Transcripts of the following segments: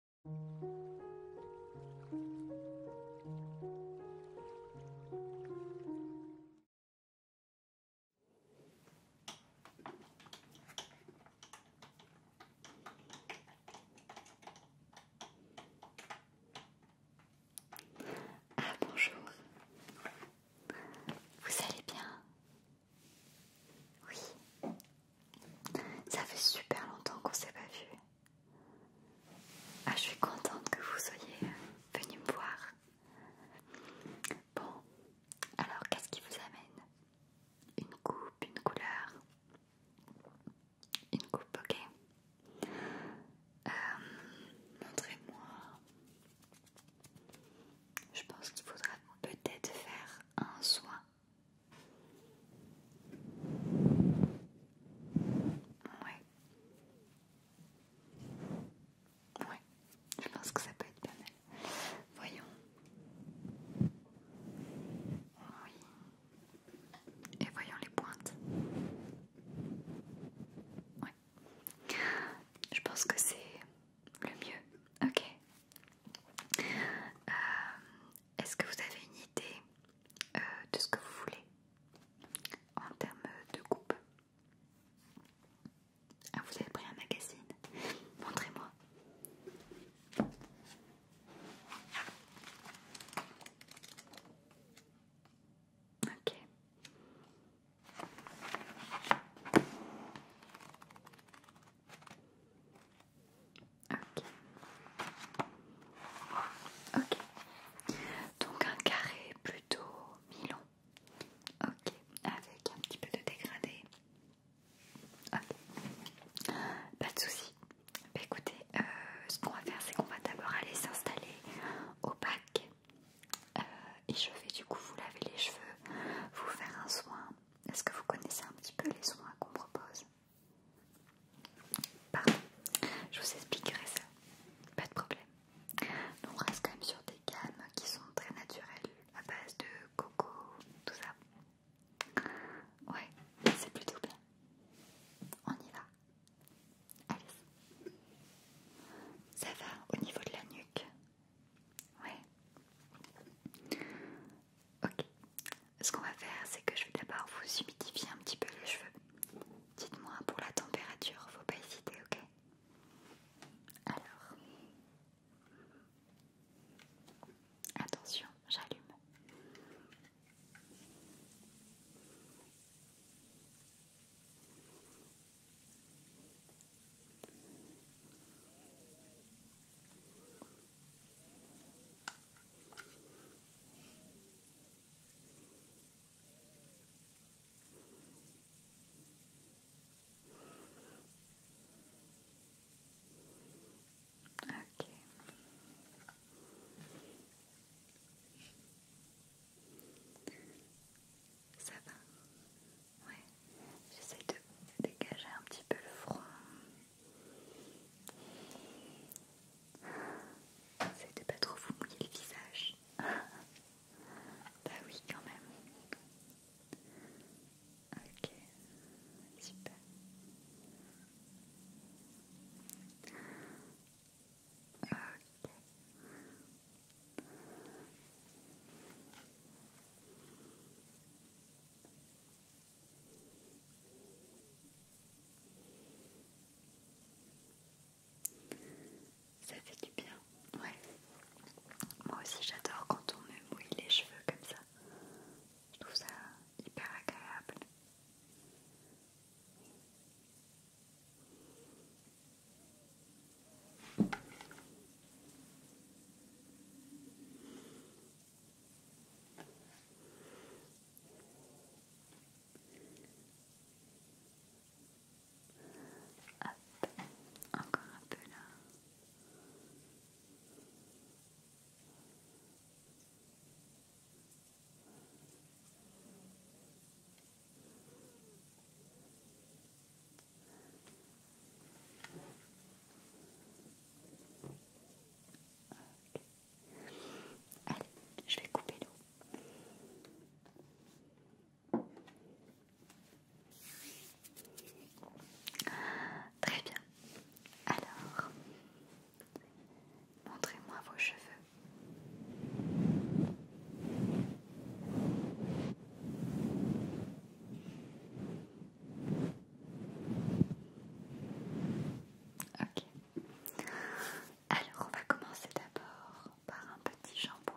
Ah bonjour, vous allez bien Oui, ça fait super longtemps qu'on s'est pas vu. Ah, je suis contente que vous soyez venu me voir. Bon, alors qu'est-ce qui vous amène Une coupe, une couleur Une coupe, ok. Euh, montrez-moi. Je pense qu'il faudra peut-être faire un soin oui, oui, Je pense que ça peut être bien. Voyons. Oui. Et voyons les pointes. Ouais. Je pense que c'est le mieux. Ok. Euh, est-ce que vous avez une idée euh, de ce que vous voulez en termes de coupe ah, Vous avez pris un magazine Montrez-moi. Ok. Ok. Donc un carré plutôt mi-long. Ok. Avec un petit peu de dégradé. Ok. Pas de soucis. Bah, écoutez, euh, ce qu'on va faire, c'est qu'on va d'abord aller s'installer au bac. Euh, et je vais du coup vous laver les cheveux, vous faire un soin. Est-ce que vous connaissez un petit peu les soins qu'on propose Pardon, je vous expliquerai ça, pas de problème. On reste quand même sur des gammes qui sont très naturelles, à base de coco, tout ça. Ouais, c'est plutôt bien. On y va. Allez. Ça va au niveau de la nuque Ouais. Ok, ce qu'on va faire, c'est que je vais d'abord vous humidifier un petit peu les cheveux. Dites-moi pour la température, faut pas hésiter, ok Alors, attention, j'allume. Ok. Ça va Ouais. J'essaie de dégager un petit peu le front. C'est de pas trop vous mouiller le visage. bah oui, quand même. Ok, super. Ok. Ça fait du bien, Moi aussi j'adore quand on me mouille les cheveux comme ça. Je trouve ça hyper agréable. Hop, encore un peu là. Allez, je vais couper l'eau. Très bien. Alors, montrez-moi vos cheveux. Ok. Alors, on va commencer d'abord par un petit jambon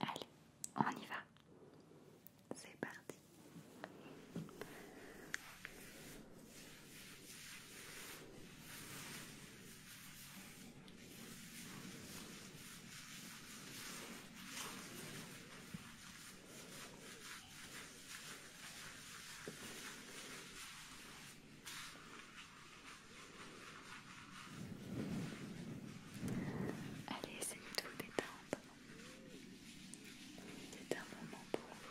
Allez, on y va. C'est parti. Allez, essayez de vous détendre. C'est un moment pour vous.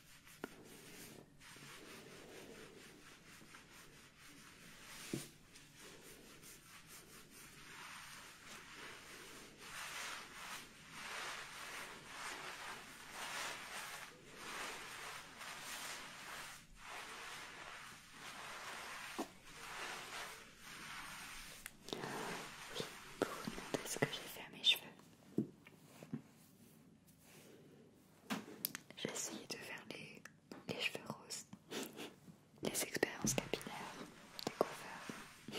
Vous vous demandez ce que j'ai fait à mes cheveux j'ai essayé de faire les, cheveux roses, les expériences capillaires, les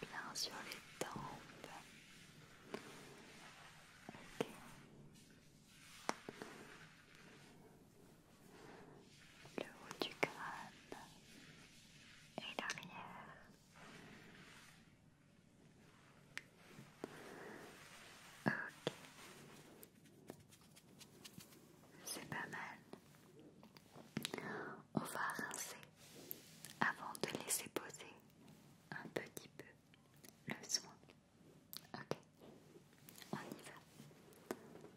Bien sur les tempes. Le haut du crâne et l'arrière. Ok. C'est pas mal. On va rincer avant de laisser poser un petit peu le soin. Ok. On y va.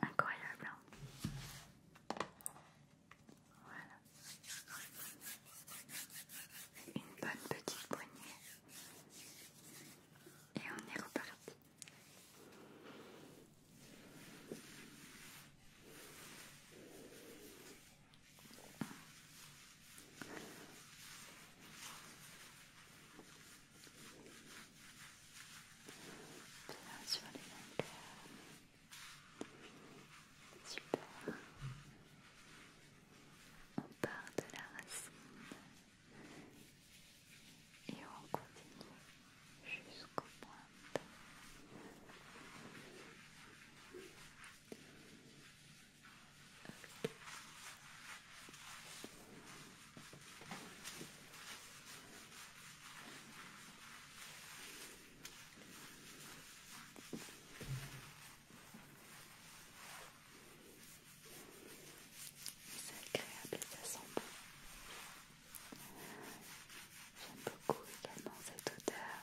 Incroyable. Hein. voilà. Une bonne petite poignée. Et on est reparti sur les longueurs. Super. On part de la racine et on continue jusqu'aux pointes. C'est agréable ça sent bon. J'aime beaucoup également cette odeur.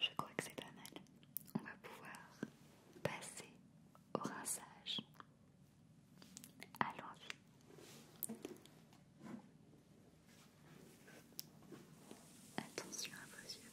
Je crois que c'est pas mal. On va pouvoir passer au rinçage. Allons-y. Attention à vos yeux.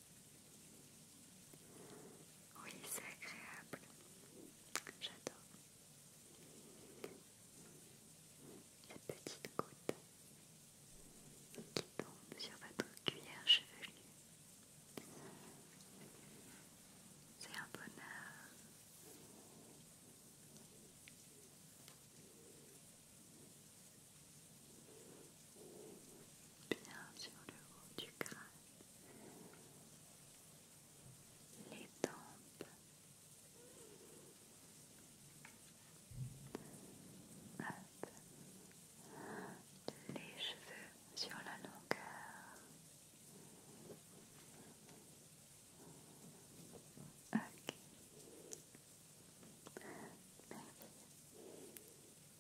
Oui, c'est agréable. J'adore. La petite goutte qui tombe sur votre cuillère chevelue. C'est un bonheur. Bien sur le haut du crâne les tempes les cheveux sur la longueur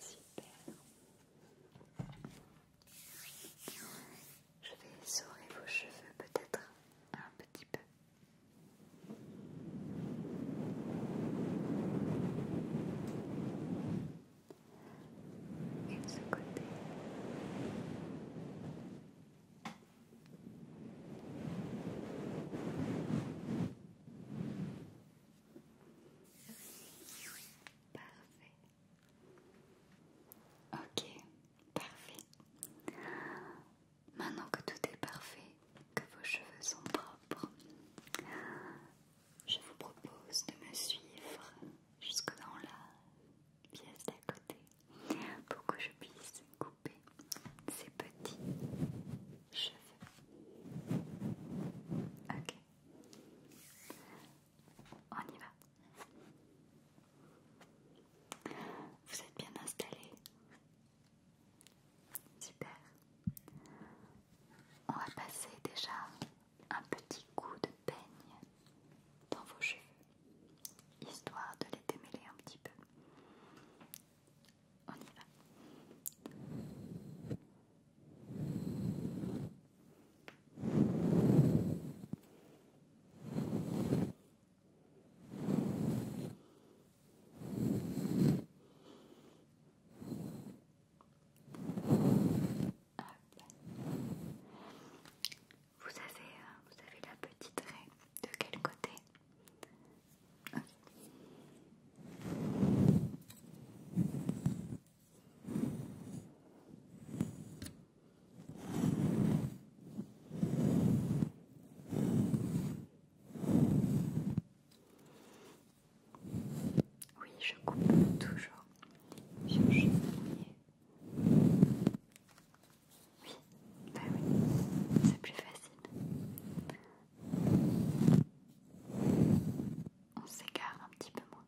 Super. Je vais essorer vos cheveux peut-être un petit peu. Et de ce Parfait. Ok, parfait. Maintenant que tout est parfait, que vos cheveux sont propres, je vous propose de me suivre jusque dans la pièce d'à côté pour que je puisse couper ces petits cheveux. Ok. On y va. Vous êtes bien installé Super. On va passer déjà un petit coup de peigne dans vos cheveux, histoire de les démêler un petit peu on y va. Vous avez, euh, vous avez la petite raie de quel côté oui, je coupe toujours bah oui, c'est plus facile. On s'écarte un petit peu moins.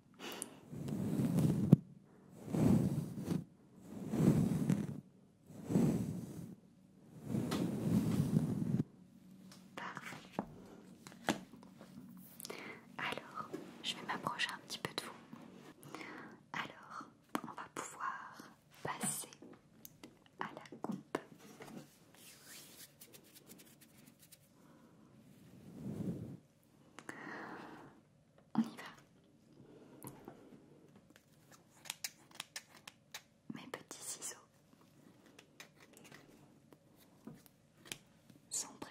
Parfait. Alors, je vais m'approcher un petit peu de vous. Alors, on va pouvoir passer à la coupe. On y va. Mes petits ciseaux sont prêts.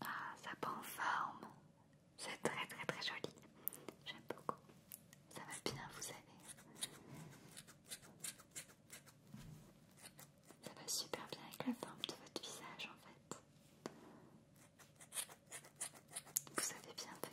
Ah, ça prend forme. C'est très très très joli. J'aime beaucoup. Ça va bien, vous savez. Ça va super bien avec la forme de votre visage en fait. Vous avez bien fait.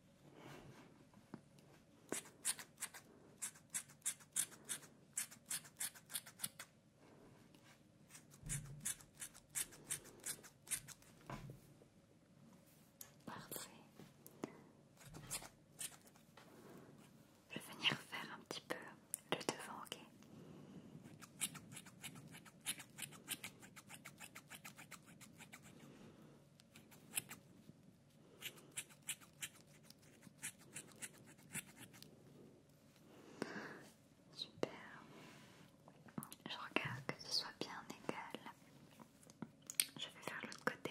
Je vais venir faire un petit peu le devant, ok Super. Je regarde que ce soit bien égal. Je vais faire l'autre côté.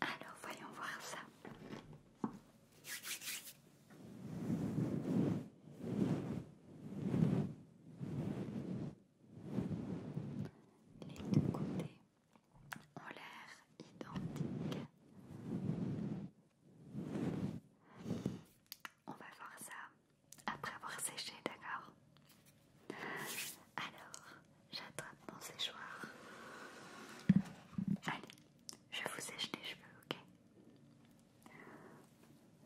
Alors voyons voir ça. Les deux côtés ont l'air identique. On va voir ça après avoir séché, d'accord Alors, j'attrape mon séchoir. Allez, je vous sèche les cheveux, ok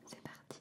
C'est parti.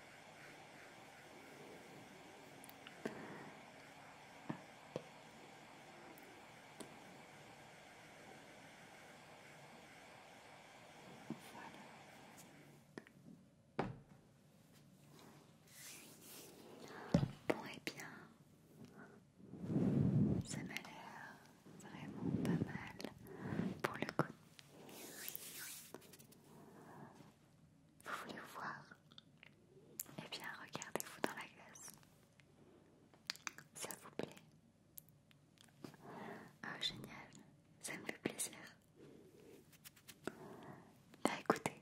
Bon et eh bien, ça m'a l'air vraiment pas mal pour le côté vous voulez vous voir Eh bien, regardez-vous dans la glace. Ça vous plaît Oh, génial, ça me fait plaisir. Bah écoutez,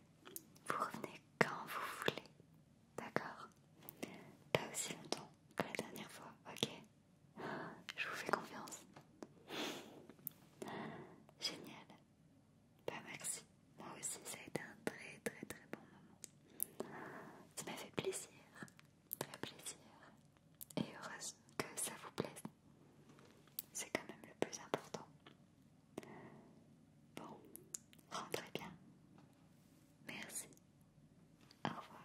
vous revenez quand vous voulez, d'accord Pas aussi longtemps que la dernière fois, ok je vous fais confiance. Génial. Bah, merci. Moi aussi, ça a été un très très très bon moment. Ça m'a fait plaisir. Très plaisir. Et heureuse que ça vous plaise. C'est quand même le plus important. Bon, rentrez bien. Merci. Au revoir.